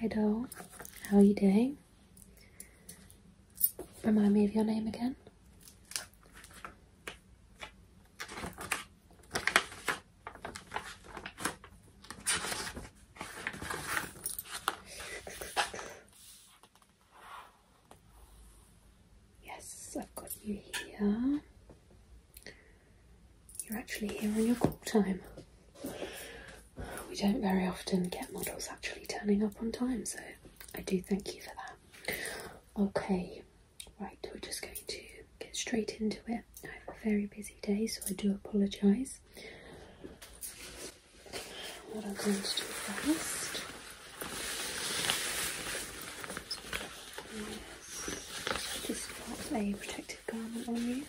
Hi doll, how are you doing? Remind me of your name again. Yes, I've got you here. You're actually here on your call time. We don't very often get models actually turning up on time, so I do thank you for that. Okay, right, we're just going to get straight into it. I have a very busy day, so I do apologise. What I'm going to do first is just pop a protective garment on you.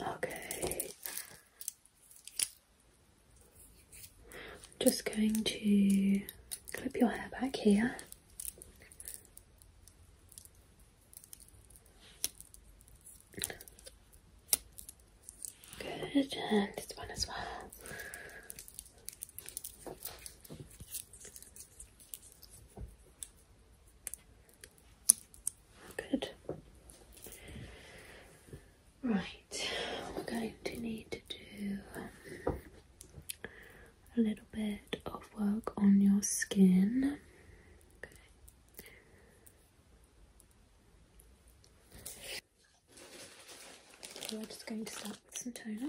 Okay. I'm just going to clip your hair back here. Good, and this one as well. Good. Right, we're going to need to do um, a little bit of work on your skin. we're just going to start with some toner.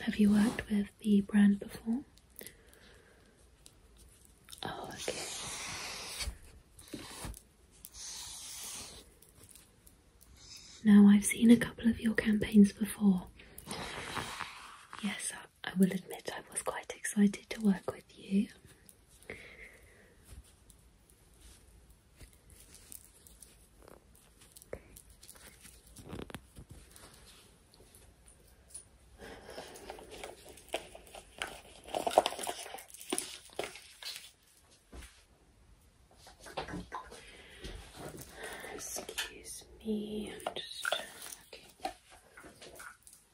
Have you worked with the brand before? Oh, okay. Now, I've seen a couple of your campaigns before. Yes, I will admit I was quite excited to work with you. Excuse me, I'm just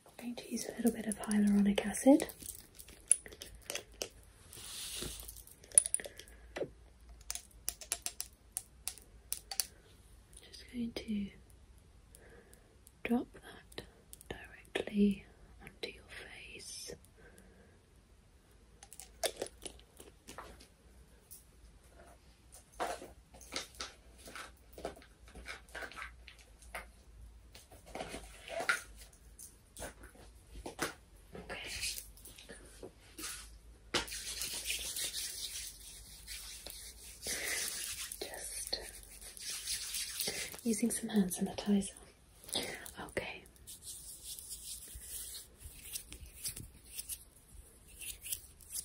I'm going to use a little bit of hyaluronic acid. Just going to drop that directly onto your face. Just using some hand sanitizer. Okay.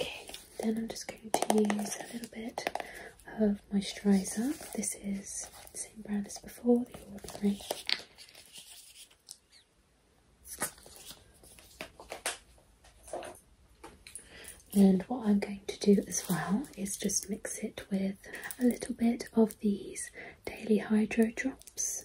Okay, then I'm just going to use a little bit of moisturiser. This is same brand as before, the Ordinary. And what I'm going to do as well is just mix it with a little bit of these Daily Hydro Drops.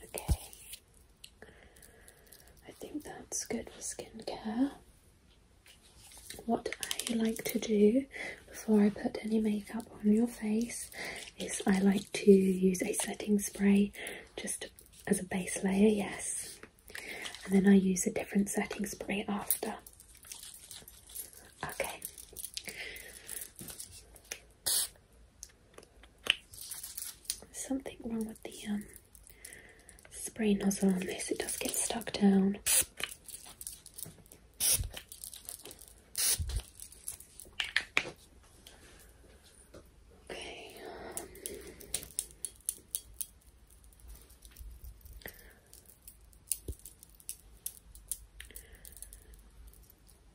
Okay, I think that's good for skincare. What I like to do before I put any makeup on your face is I like to use a setting spray just as a base layer, yes, and then I use a different setting spray after. Okay. something wrong with the um, spray nozzle on this, it does get stuck down. Okay.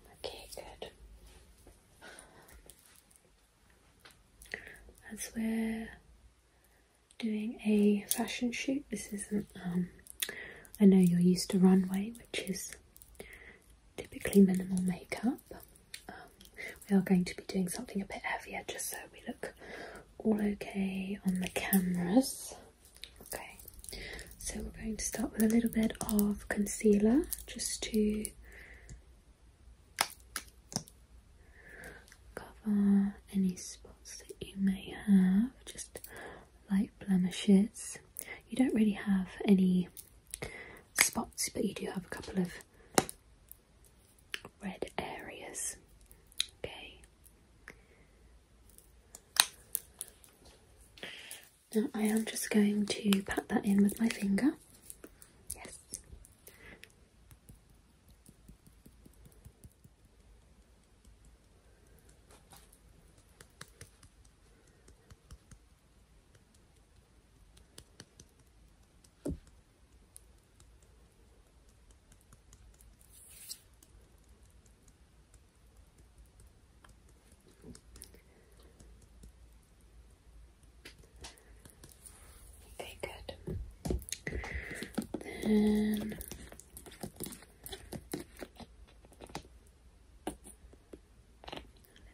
okay, good. That's where doing a fashion shoot. This isn't, um, I know you're used to runway, which is typically minimal makeup. Um, we are going to be doing something a bit heavier just so we look all okay on the cameras. Okay, so we're going to start with a little bit of concealer just to cover any spots that you may have, just light blemishes. You don't really have any spots, but you do have a couple of red areas. Okay. Now I am just going to pat that in with my finger. Yes. Okay, good. Then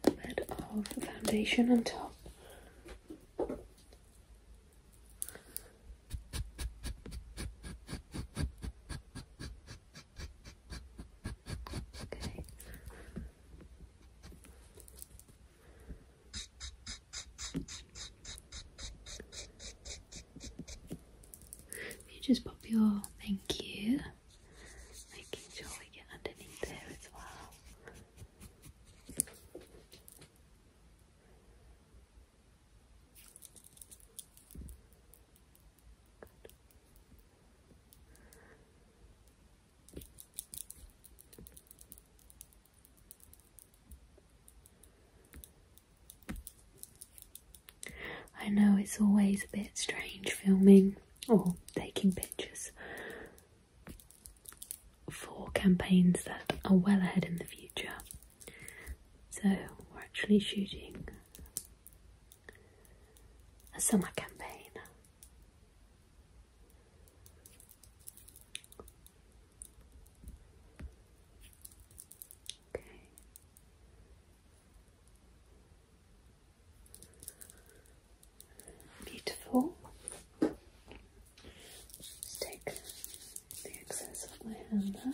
a little bit of foundation on top. Okay you just pop your thank you, making sure we get underneath there as well. I know it's always a bit strange filming or taking pictures for campaigns that are well ahead in the future. So we're actually shooting a summer campaign. Beautiful. Just take the excess of my hand there.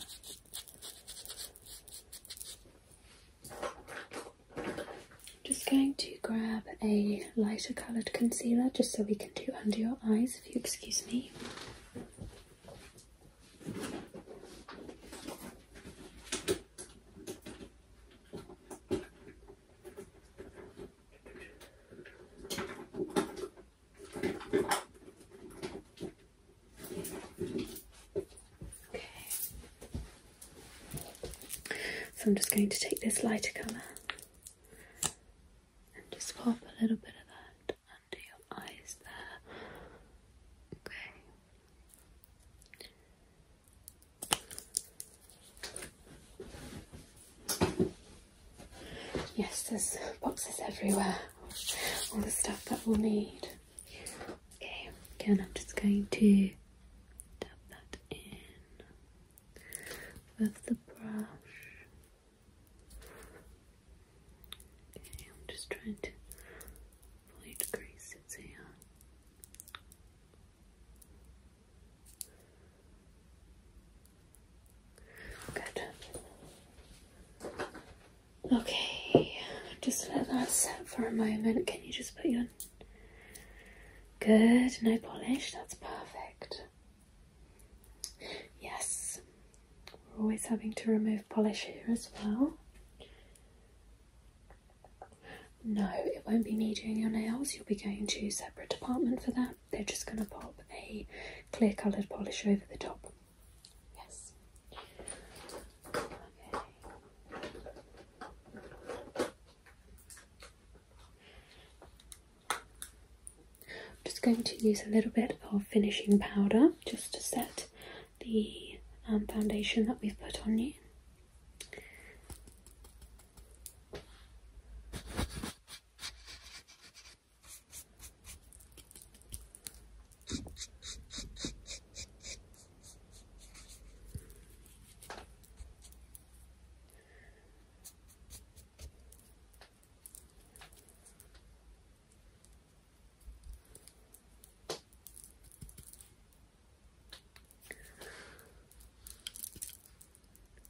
just going to grab a lighter coloured concealer just so we can do under your eyes, if you excuse me. Okay. So I'm just going to take this lighter colour and just pop a little bit of that under your eyes there. Okay. Yes, there's boxes everywhere. All the stuff that we'll need. Okay, again, I'm just going to dab that in with the brush. Okay, I'm just trying to avoid creases here. Good. Okay, just let that set for a moment. Can you just put your good, no polish? That's perfect. Yes, we're always having to remove polish here as well. No, it won't be me doing your nails, you'll be going to a separate department for that. They're just going to pop a clear coloured polish over the top. Yes. I'm just going to use a little bit of finishing powder just to set the um, foundation that we've put on you.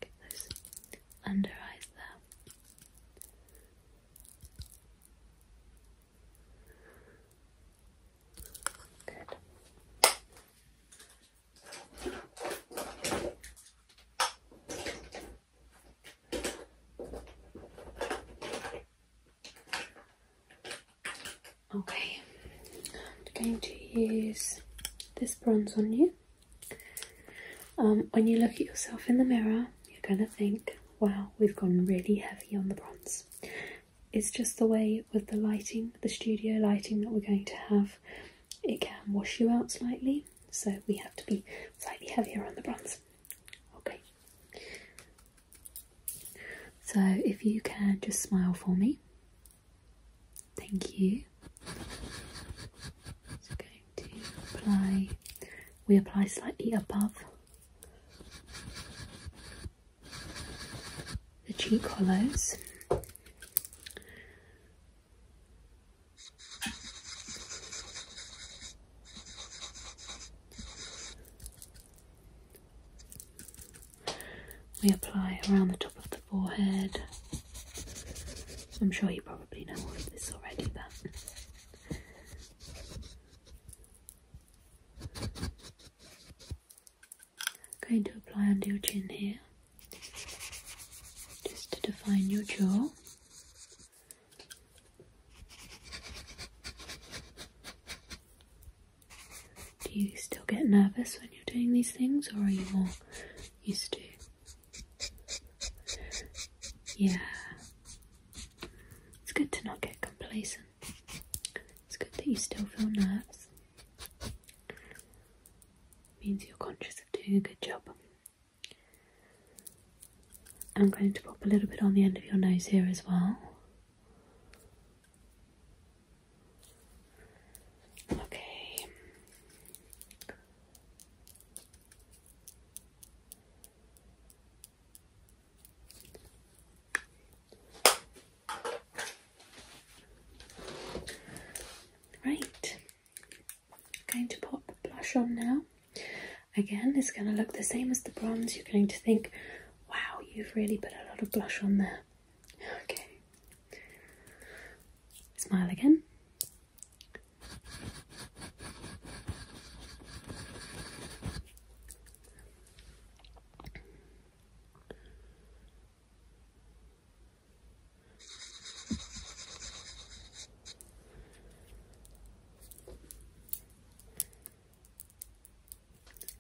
Get those under eyes there. Good. Okay, I'm going to use this bronze on you. Um, when you look at yourself in the mirror, you're going to think, wow, we've gone really heavy on the bronze. It's just the way with the lighting, the studio lighting that we're going to have, it can wash you out slightly so we have to be slightly heavier on the bronze. Okay. So if you can just smile for me. Thank you. So going to apply we apply slightly above the cheek hollows we apply around the top of the forehead. I'm sure you probably know all of this already, but going to apply under your chin here just to define your jaw. Do you still get nervous when you're doing these things, or are you more used to? Yeah, it's good to not get complacent. It's good that you still feel nervous. means you're conscious of doing a good job. I'm going to pop a little bit on the end of your nose here as well. Okay. Right going to pop blush on now. Again, it's going to look the same as the bronze. You're going to think, wow, you've really put a lot of blush on there. Okay. Smile again.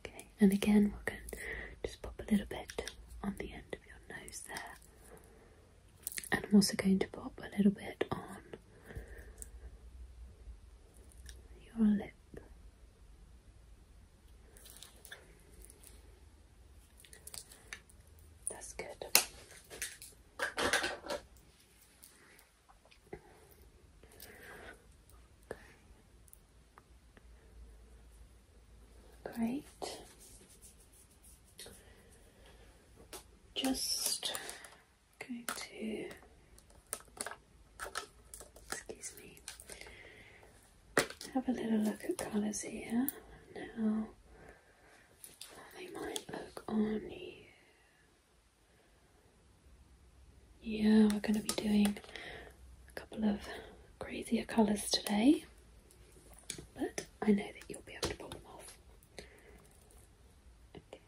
Okay, and again, we're going to just pop a little bit on the end of your nose there, and I'm also going to pop a little bit on your lip. That's good. Great. Just going to excuse me. Have a little look at colours here now. Yeah, we're going to be doing a couple of crazier colours today, but I know that you'll be able to pull them off. Okay.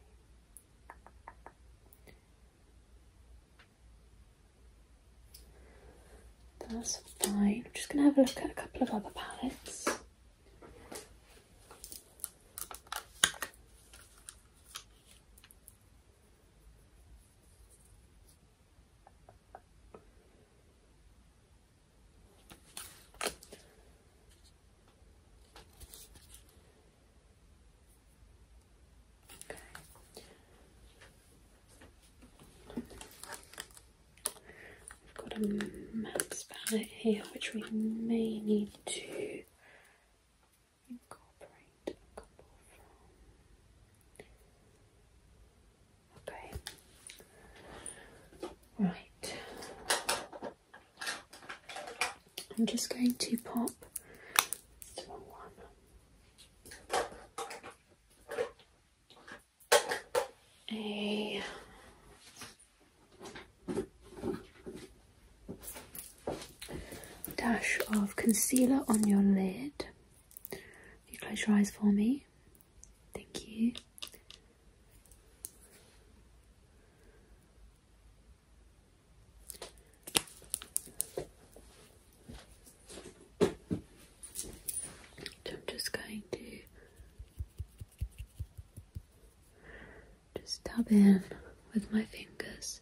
That's fine. I'm just going to have a look at a couple of other palettes. Okay i have got a matte palette here which we may need to incorporate Okay. Right. I'm just going to pop a dash of concealer on your lid. you close your eyes for me? Thank you. I'm just going to just dab in with my fingers.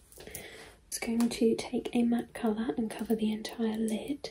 just going to take a matte colour and cover the entire lid.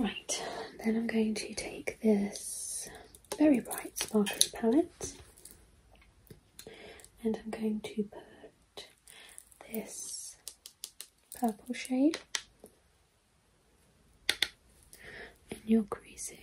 Right, then I'm going to take this very bright sparkly palette and I'm going to put this purple shade in your crease here.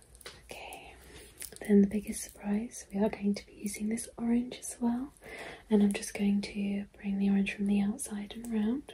Okay, then the biggest surprise, we are going to be using this orange as well. And I'm just going to bring the orange from the outside and round.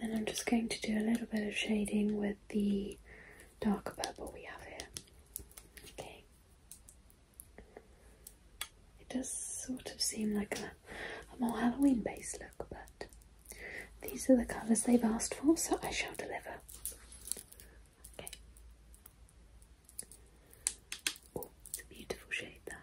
And then I'm just going to do a little bit of shading with the darker purple we have here. Okay. It does sort of seem like a, more Halloween base look, but these are the colours they've asked for, so I shall deliver. Okay. Oh, it's a beautiful shade that.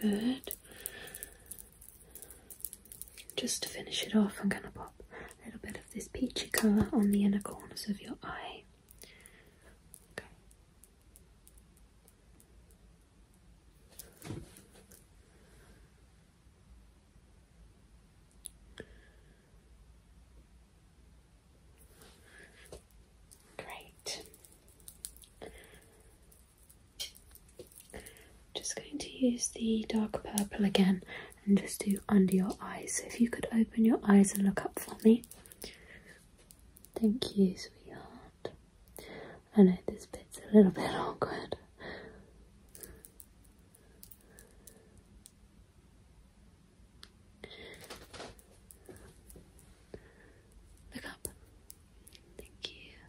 Good. Just to finish it off, I'm going to pop a little bit of this peachy colour on the inner corners of your eye. Okay. Great just going to use the dark purple again and just do under your eyes. So if you could open your eyes and look up for me. Thank you, sweetheart. I know this bit's a little bit awkward. Look up. Thank you.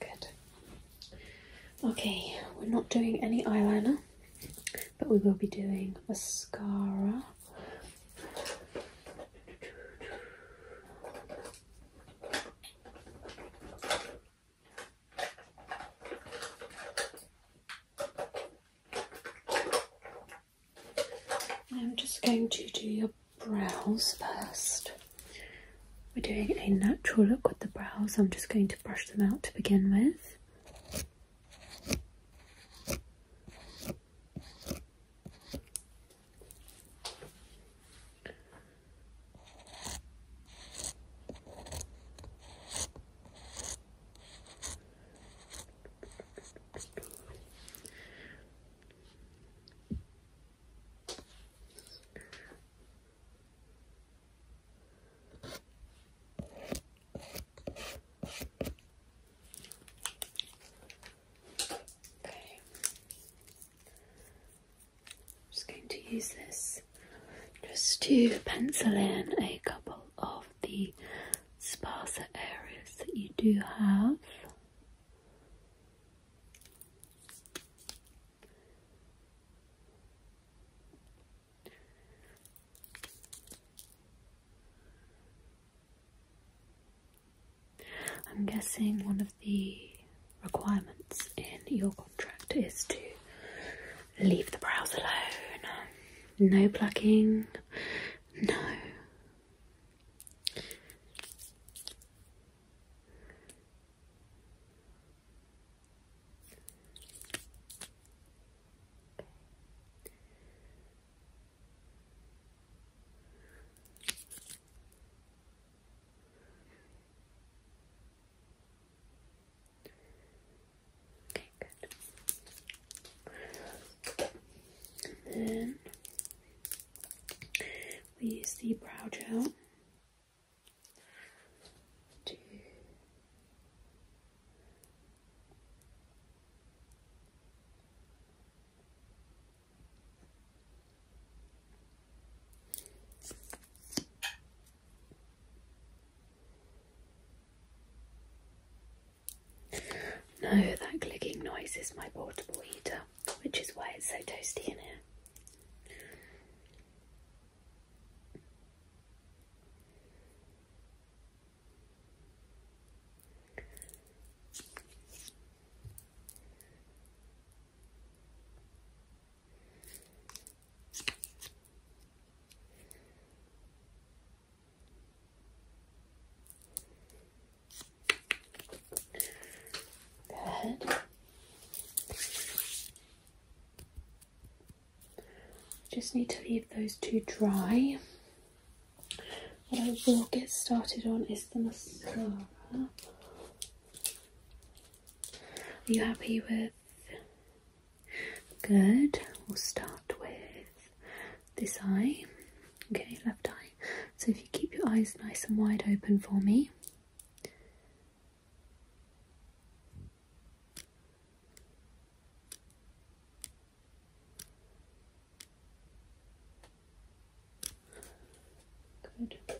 Good. Okay, we're not doing any eyeliner, but we will be doing mascara. I'm just going to do your brows first. We're doing a natural look with the brows. I'm just going to brush them out to begin with. Okay. I'm just going to use this just to pencil in a couple of the sparser areas that you do have. I'm guessing one of the requirements in your contract is to leave the brows alone. No plucking, no. Okay, good. And then we use the brow gel no, that clicking noise is my portable heater which is why it's so toasty in here. Go Just need to leave those two dry. What I will get started on is the mascara. Are you happy with? Good. We'll start with this eye. Okay, left eye. So if you keep your eyes nice and wide open for me. Good.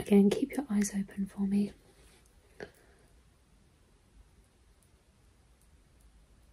Again, keep your eyes open for me.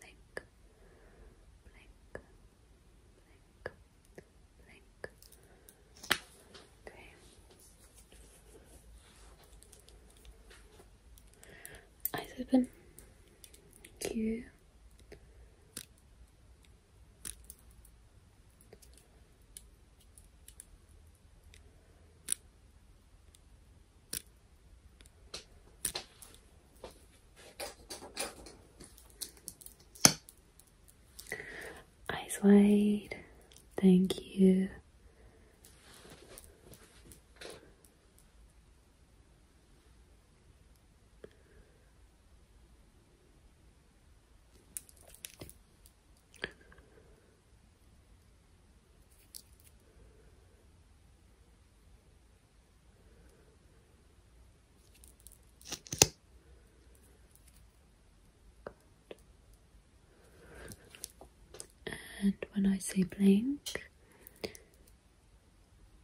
blink, blink, blink, blink. Okay. Eyes open. Q. Eyes wide. Thank you. And when I say blink,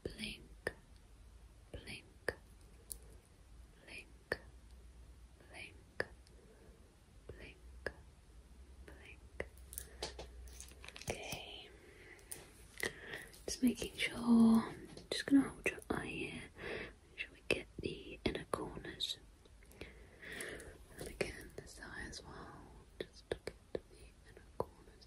blink, blink, blink, blink, blink, Okay. Just making sure. Just gonna hold your eye here. Should we get the inner corners? And again, this eye as well. Just the inner corners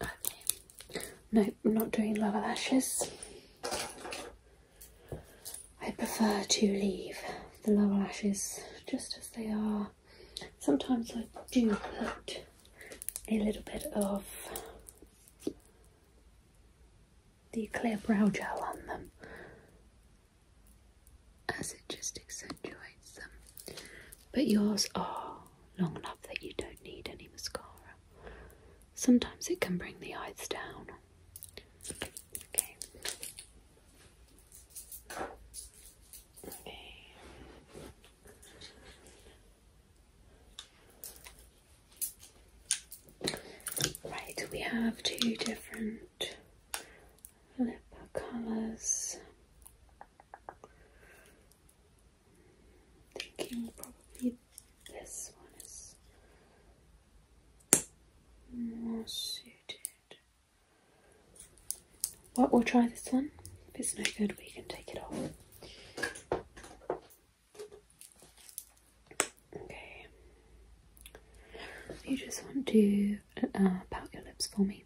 there. No, I'm not doing lower lashes. I prefer to leave the lower lashes just as they are Sometimes I do put a little bit of the clear brow gel on them as it just accentuates them. But yours are long enough that you don't need any mascara. Sometimes it can bring the eyes down. Right, we have two different lip colours. Thinking probably this one is more suited. What? we'll try this one. If it's no good, we can take it off. Okay. You just want to uh, pout your lips for me.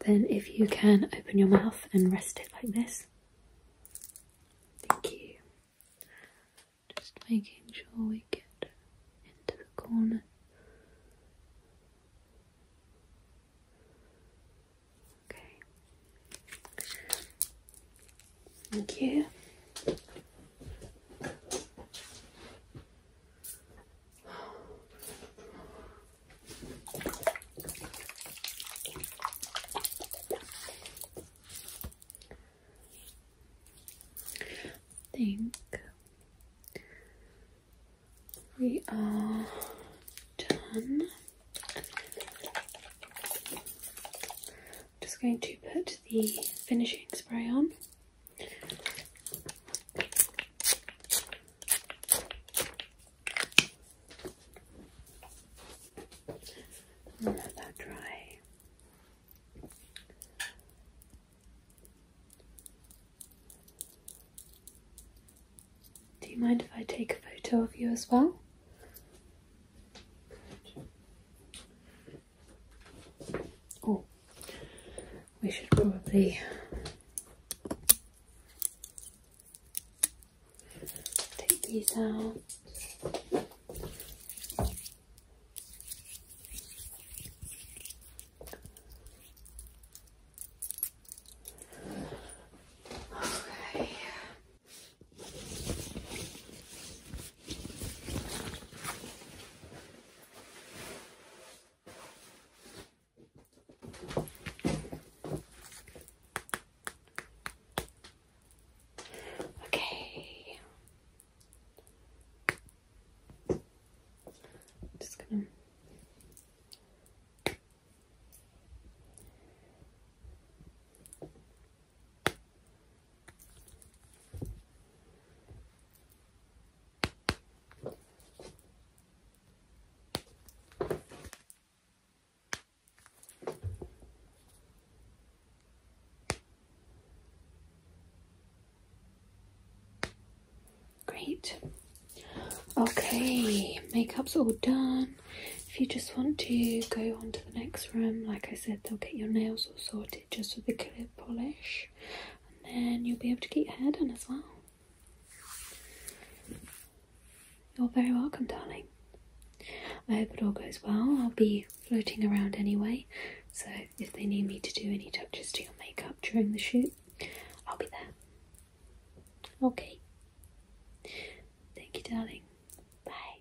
Then, if you can open your mouth and rest it like this. Thank you. Just making sure we get into the corner. Okay. Thank you. think we are done. I'm just going to put the finishing spray on. let that dry. Do you mind if I take a photo of you as well? Oh, we should probably take these out. Okay. Okay. i just gonna Great. Okay, makeup's all done. If you just want to go on to the next room, like I said, they'll get your nails Sort it just with a clear polish and then you'll be able to get your hair done as well. You're very welcome darling. I hope it all goes well. I'll be floating around anyway so if they need me to do any touches to your makeup during the shoot I'll be there. Okay. Thank you darling. Bye.